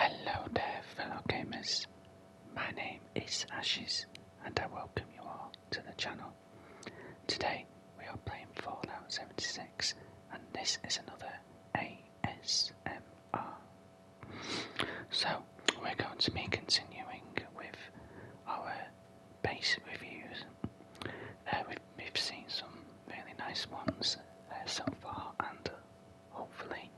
Hello dear fellow gamers, my name is Ashes and I welcome you all to the channel. Today we are playing Fallout 76 and this is another ASMR. So we're going to be continuing with our base reviews. Uh, we've seen some really nice ones uh, so far, and hopefully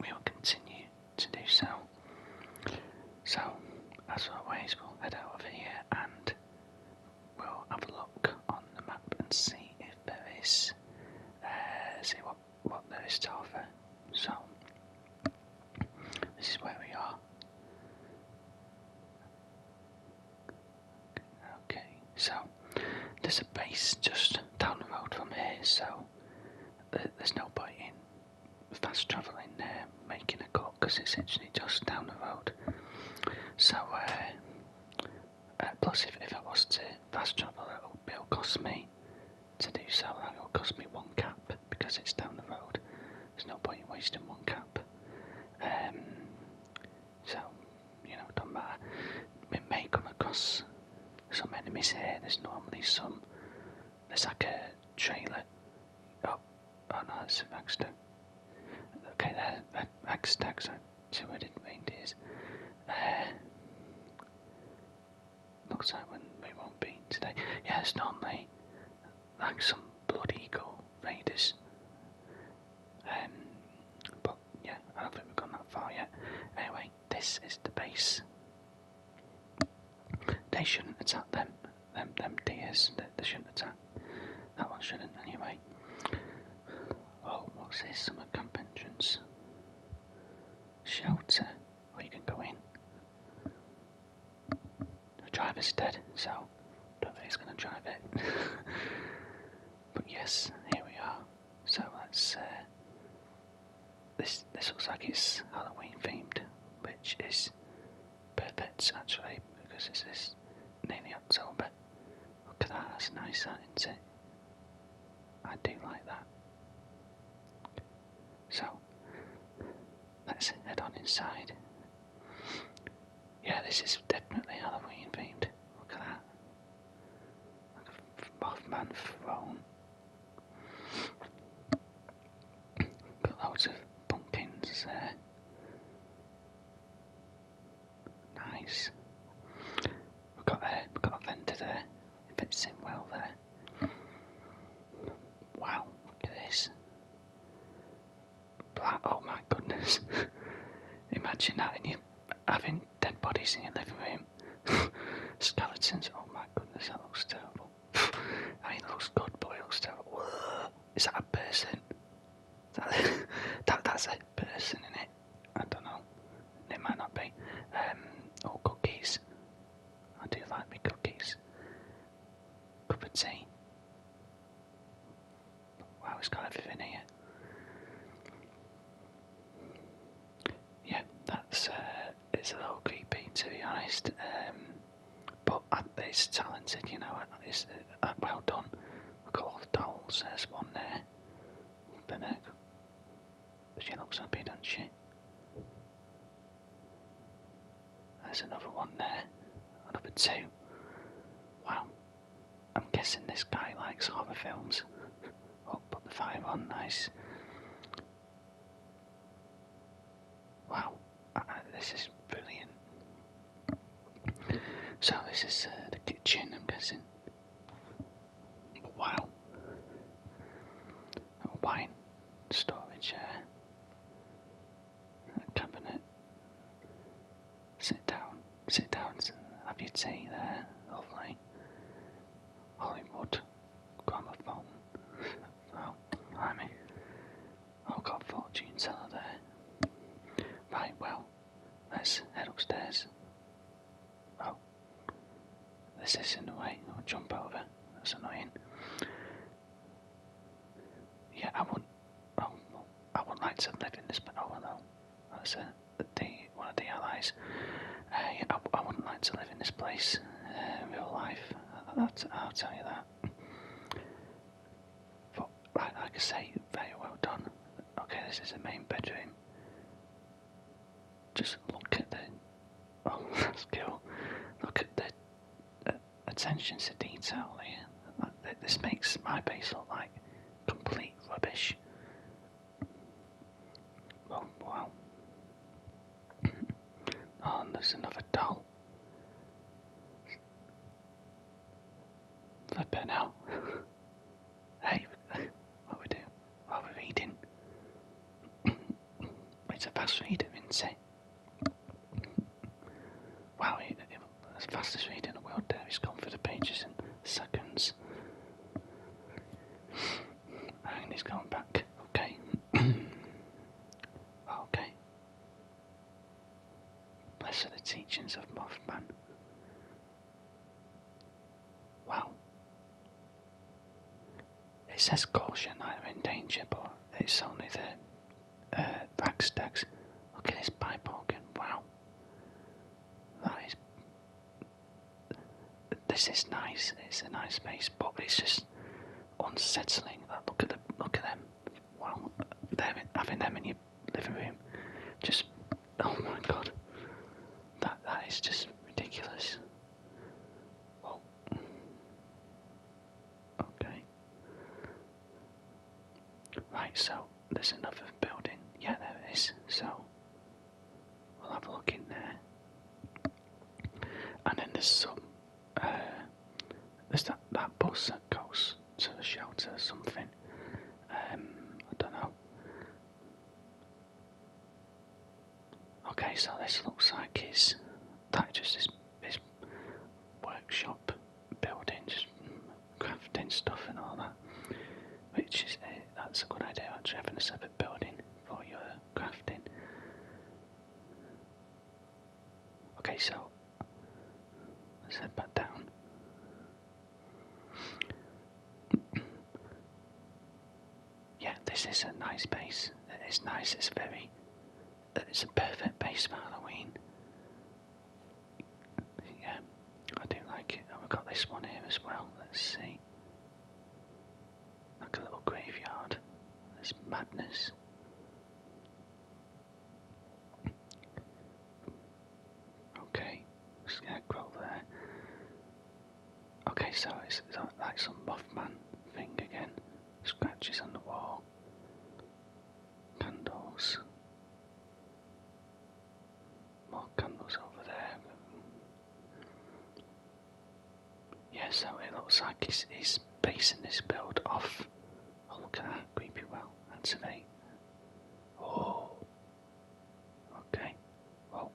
we will continue to do so. So, as always, we'll head out of here and we'll have a look on the map and see if there is, uh, see what, what there is to offer. So, this is where we are. Okay, so there's a base just down the road from here, so there's no point in fast travelling there, making a cut, because it's actually just down the road. So, uh, uh, plus if, if I was to fast traveling, it would cost me to do so, That would cost me one cap, because it's down the road. There's no point in wasting one cap. Um, so, you know, it not matter. We may come across some enemies here. There's normally some. There's like a trailer. Oh, oh no, that's a Vagstag. Okay, there, Vagstags are two headed reindeers. Uh, looks like we won't be today. Yeah, it's normally like some bloody eagle raiders. Um, but yeah, I don't think we've gone that far yet. Anyway, this is the base. They shouldn't attack them, them, them deers. They, shouldn't attack. That one shouldn't anyway. Oh, what's this? Summer camp entrance. Shelter, where you can go in. The driver's dead, so don't think he's going to drive it. But yes, here we are. So let's. Uh, this this looks like it's Halloween themed, which is perfect actually because this is nearly October. Look at that, that's nice, is isn't it? I do like that. So let's head on inside. Yeah, this is definitely Halloween themed. Look at that. Mothman throne. Got loads of pumpkins Nice. We've got a we've got a vendor there. It fits in well there. Wow, look at this. Black oh my goodness. Imagine that in your having dead bodies in your living room. Skeletons, oh my goodness, that looks terrible. I mean, it looks good, Boy, it looks terrible. Is that a person? That, that, that's a person in it. I don't know. It might not be. Um, oh, cookies. I do like me cookies. Cup of tea. Wow, it's got everything here. Yeah, that's uh, it's a little creepy to be honest. Um, but it's talented, you know. It's uh, uh, well done. Look at all the dolls. There's one there. The neck. She looks happy, doesn't she? There's another one there. Another two. Wow, I'm guessing this guy likes horror films. Oh, put the fire on, nice. Wow, uh, uh, this is brilliant. So, this is uh, the kitchen, I'm guessing. Wow. wine storage, cabinet. Sit down, sit down, have your tea there, lovely. Hollywood, gramophone. Oh, I've got fortune teller there. Right, well, let's head upstairs. Oh, this is in the way. I'll jump over. That's annoying. Yeah, I wouldn't. Oh, well, I wouldn't like to have in this, but oh no, that's uh, the, one of the allies. I, I, wouldn't like to live in this place uh, in real life, that, I'll tell you that. But like, I say, very well done. Okay, this is the main bedroom. Just look at the. Oh, that's cool. Look at the uh, attention to detail here. this makes my base look like complete rubbish. Oh wow. oh, there's another doll. better now. hey, what are we doing? What are reading? it's a fast reader, is Wow, as fast as he read in the world there. He's gone through the pages in seconds. And he's gone back. Okay. okay. Blessed are the teachings of Mothman. Wow. It says caution, I'm in danger, but it's only the uh, stacks. Look at this pipe organ, wow. That is. This is nice. It's a nice space, but it's just unsettling. Uh, look at the look at them. Wow, them having them in your living room, just oh my god, that that is just ridiculous. okay. Right, so there's another building. Yeah, there it is. So we'll have a look in there. And then there's some. Uh, there's that, that bus that goes to the shelter or something. Um, I don't know. Okay, so this looks like his. That just is his workshop building, just crafting stuff and all that. Which is eh, that's a good idea actually having a separate building for your crafting. Okay, so let's back down. yeah, this is a nice base. It's nice. It's very. It's a perfect base for Halloween yeah, I do like it. And we've got this one here as well. Let's see. Like a little graveyard. There's madness. Okay, scarecrow there. Okay, so it's, like some Mothman thing again. Scratches on the wall. Candles. More Candle's over there. Yeah, so it looks like he's, he's basing this build off. Oh, look creepy well, that's an 8. Oh, okay, well,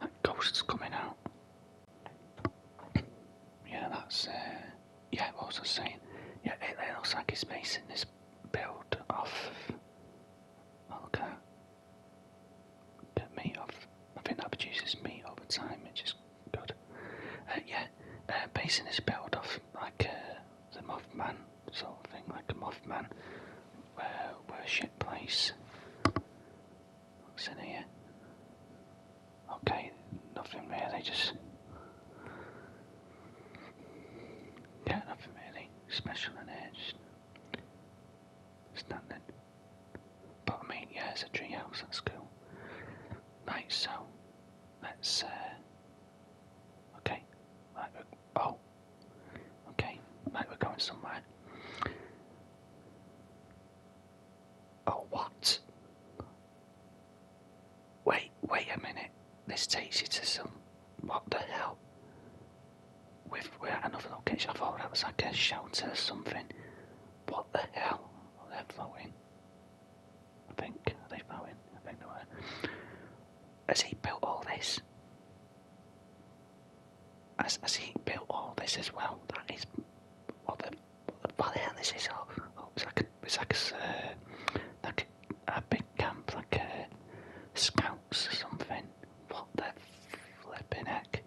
that ghost's coming out. Yeah, that's, uh, yeah, what was I saying? Yeah, it, it looks like he's basing this built off okay the meat off I think that produces meat over time which is good uh, yeah uh, basin is built off like uh, the Mothman sort of thing like a Mothman worship place what's in here okay nothing really just yeah, nothing really special and edged. Standard. But I mean, yeah, it's a treehouse, that's cool. Right, so, let's, uh, okay, right, oh, okay, right, we're going somewhere. Oh, what? Wait, wait a minute. This takes you to some. What the hell? We've, we're at another location. I thought that was like a shelter or something. What the hell? Are they're floating. I think. Are they floating? I think they were. Has he built all this? Has, has he built all this as well? That is. What the, what the hell is this? Oh, oh it's like a. It's uh, a big camp like uh, scouts or something. What the flipping heck?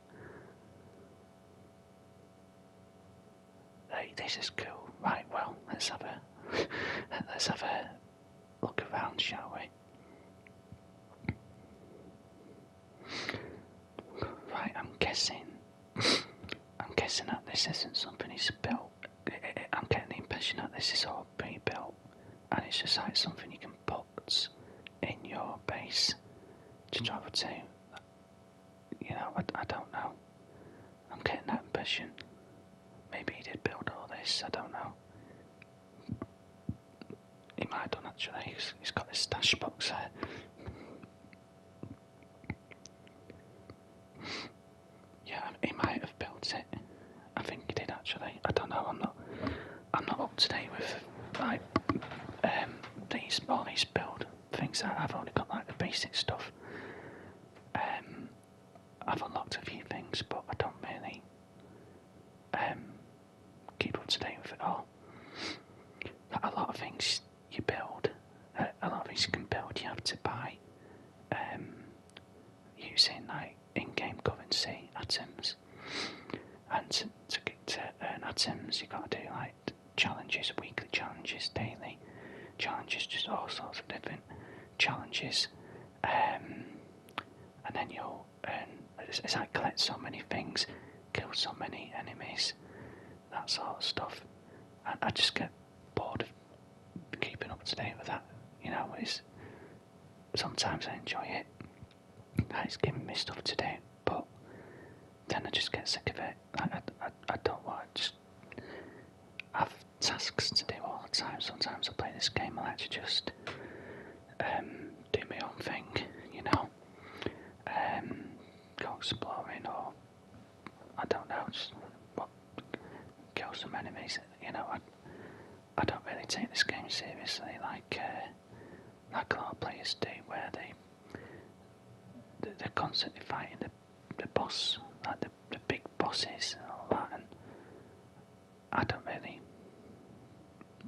Right, this is cool. Right, well, let's have a let's have a look around, shall we? Right, I'm guessing. I'm guessing that this isn't something he's built I'm getting the impression that this is all pre-built, and it's just like something you can put in your base to hmm. travel to. You know, I, I don't know. I'm getting that impression. Maybe he did build all this. I don't know. He might have done actually. he's, he's got this stash box here. Yeah, he might have built it. I think he did actually. I don't know. I'm not. I'm not up to date with like um, these all these build things. I, I've only got like the basic stuff. Um, I've unlocked a few things, but I don't really um, keep up to date with it all. a lot of things you build, uh, a lot of things you can build, you have to buy. Um, using like in-game currency atoms. And to, to, earn atoms, you got to do like challenges, weekly challenges, daily challenges, just all sorts of different challenges. Um, and then you'll earn. It's, like collect so many things, kill so many enemies, that sort of stuff. And I just get bored of keeping up to date with that. You know, it's sometimes I enjoy it. It's giving me stuff to do, but then I just get sick of it. I, I, I don't want to have tasks to do all the time. Sometimes I play this game, I actually just um, do my own thing, you know, um, go exploring I don't know, just what, kill some enemies. You know, I, I don't really take this game seriously like uh, like a lot of players do, where they they're constantly fighting the the boss, like the the big bosses and all that, and I don't really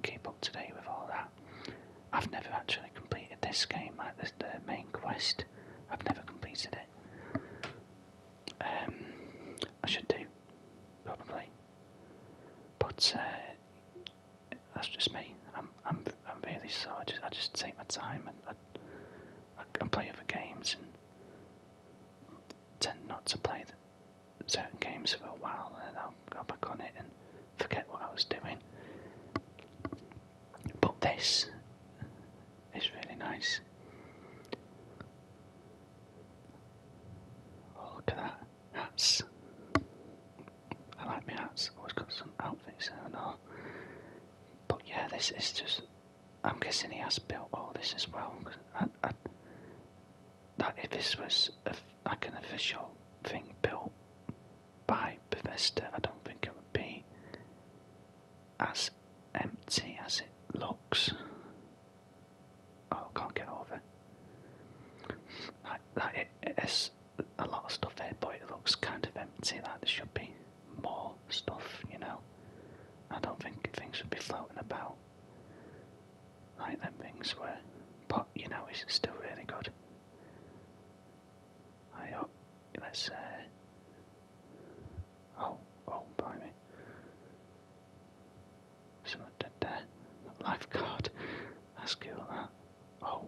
keep up to date with all that. I've never actually completed this game, like this, the main quest. I've never completed it. Um, I should do, probably. But uh, that's just me. I'm I'm I'm really slow. I just I just take my time and I, I, play other games and tend not to play certain games for a while and then I'll go back on it and forget what I was doing. But this it's really nice. Oh, look at that. Hats. I like my hats. Always got some outfits there and all. But yeah, this is just. I'm guessing he has built all this as well. I, I, that if this was a, like an official thing built by Bethesda, I don't think it would be as empty as it looks. Oh, can't get over Like, like a lot of stuff there, but it looks kind of empty. Like there should be more stuff, you know. I don't think things would be floating about. Like them things were, but you know, it's still really good. I hope. Let's uh, Oh, oh, blimey. Someone dead there. Lifeguard. That's cool, that. Oh.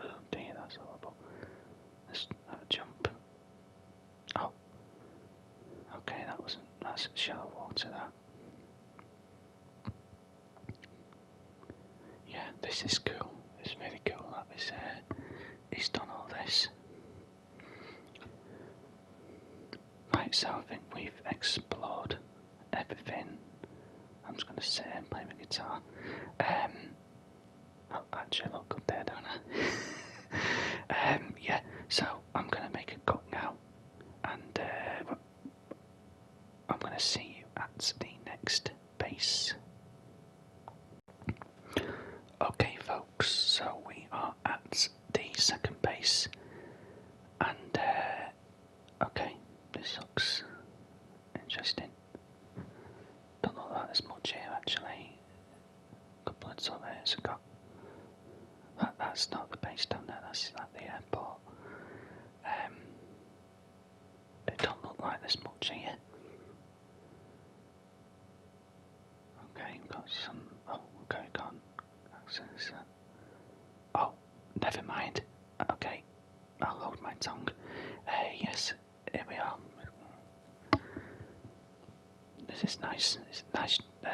Oh dear, that's horrible. Let's jump. Oh. Okay, that wasn't. That's shallow water, that. Yeah, this is cool. It's really cool that he's, he's done all this. Right, so I think we've explored everything. I'm just going to sit and play my guitar. Um, oh, actually, look up there, don't I? um, yeah, so I'm going to make a cut now, and uh, I'm going to see you at the next base. Okay, folks, so we are at the second base, and uh, okay, this looks interesting. Don't know that there's much here actually. A couple of surveyors have got. that's not the base down there, that's at the airport. Um, it don't look like there's much here. Okay, got some. Oh, okay, can uh, Oh, never mind. Okay, I'll hold my tongue. Uh, yes, here we are. This is nice. It's nice. Uh,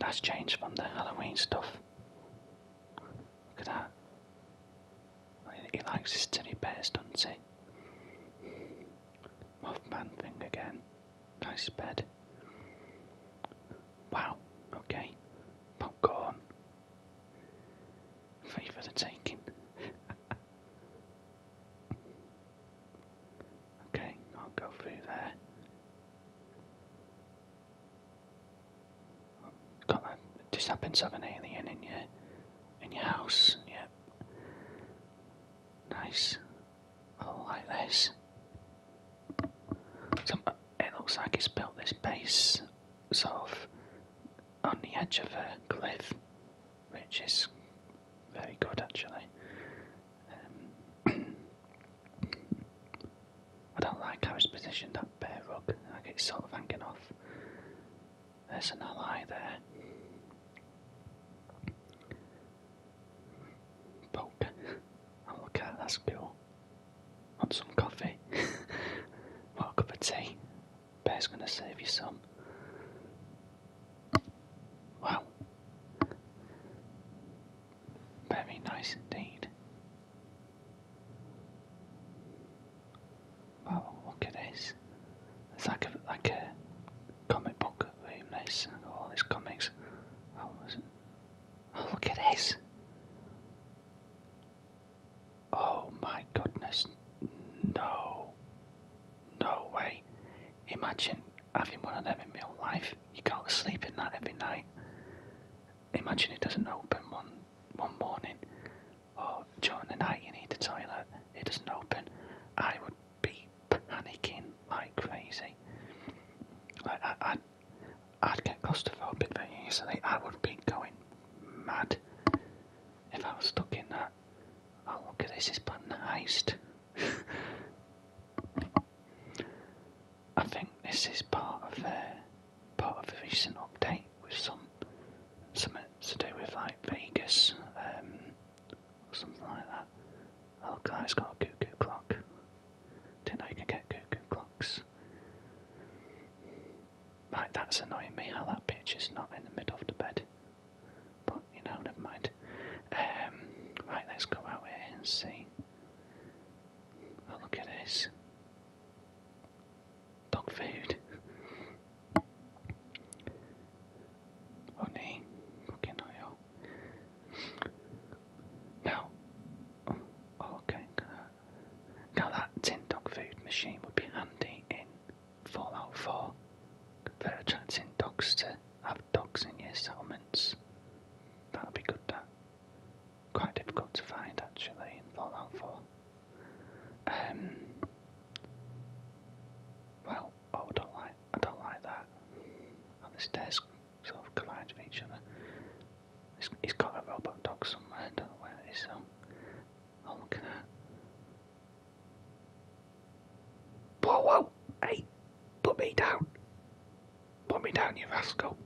nice change from the Halloween stuff. Look at that. He likes his teddy bears, doesn't he? Mothman thing again. Nice bed. Wow, okay. Popcorn. Free the taking. okay, I'll go through there. Got that. This happens to have an alien in your in your house. Yep. Nice. I like this. So it looks like he's built this base sort of on the edge of a cliff, which is very good actually. Um, I don't like how it's positioned that bare rug, like it's sort of hanging off. There's an ally there. Poke. Oh, look at that's cool. Want some coffee? what cup of tea? Bear's gonna save you some. Wow. Very nice indeed oh look at this. It's like a like a comic book room this all these comics. Oh, oh, look at this. Oh my goodness no no way. Imagine having one of them in real life. You can't sleep in that every night. Imagine it doesn't open one one morning Oh, during the night you need the toilet, it doesn't open, I would be panicking like crazy. Like I, would I'd get claustrophobic very easily. I would be going mad if I was stuck in that. Oh look at this! It's planning a heist. I think this is part of the part of a recent update with some something to do with like Vegas. Um, or something like that. Oh, guy's got a cuckoo clock. Didn't know you could get cuckoo clocks. Right, that's annoying me how that bitch is not in the middle of the bed. But, you know, never mind. Um, right, let's go out here and see. Oh, look at this. Dog food. Oh nee, okay, no, yo. Now, oh, okay, now that tin dog food machine would be handy in Fallout 4 for attracting dogs to have dogs in your settlements. That would be good, that. Quite difficult to find actually in Fallout 4. Um, well, oh, I don't like, I don't like that. And this desk sort of collides with each other. It's, has got a robot dog somewhere, I don't know where it is, so look at that. Whoa, whoa! Hey! Put me down! Put me down, you rascal!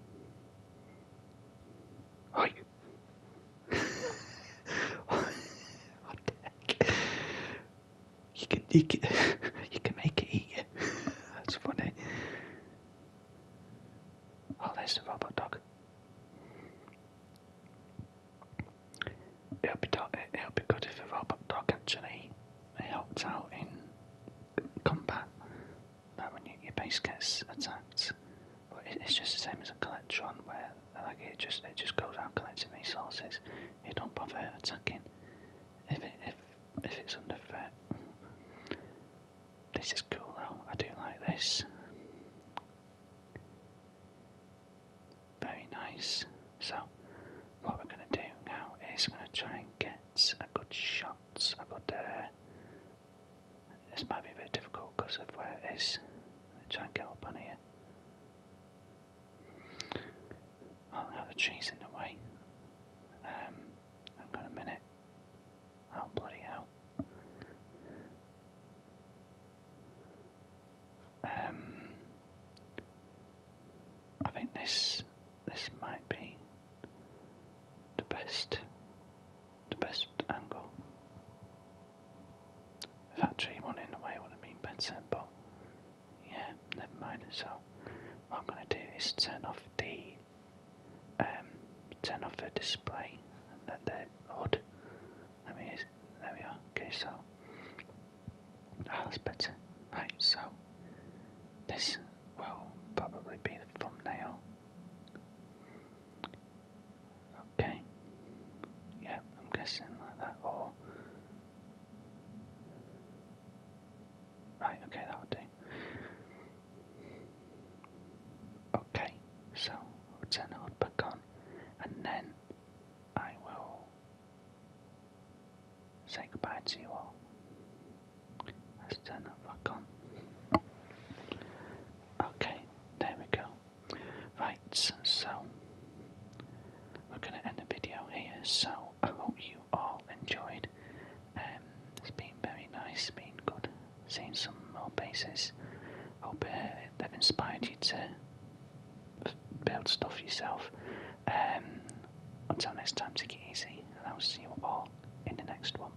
Oi! what You can, you can, you can make it eat you. That's funny. Oh, there's the robot dog. It'll be, it'll be good if the robot dog actually helps out in combat. Like when your base gets attacked. But it's just the same as a Collectron where like it just it just goes out collecting resources. It don't bother attacking if if if it's under threat. This is cool though. I do like this. Very nice. So what we're gonna do now is we're gonna try and get a good shot. A good. Uh, this might be a bit difficult because of where it is. Let me try and get up on here. I'll have the cheese in the way. I've um, got a minute. Oh, bloody hell. Um, I think this this might be the best the best angle Factory one in a way would have been better, but yeah, never mind. So I'm gonna do is turn off the um, turn off the display and let the hood. Let me there we are. Okay, so ah, that's better. Right, so this will probably be the thumbnail. Okay. Yeah, I'm guessing like that, or. Right, okay, that would do. Okay, so we'll the hood and then I will say goodbye to you all. turn that back on. Okay, there we go. Right, so we're going to end the video here. So I hope you all enjoyed. Um, it's been very nice, been good, seeing some more bases. Hope uh, that inspired you to build stuff yourself. Um, until next time, take it easy, and I'll see you all in the next one.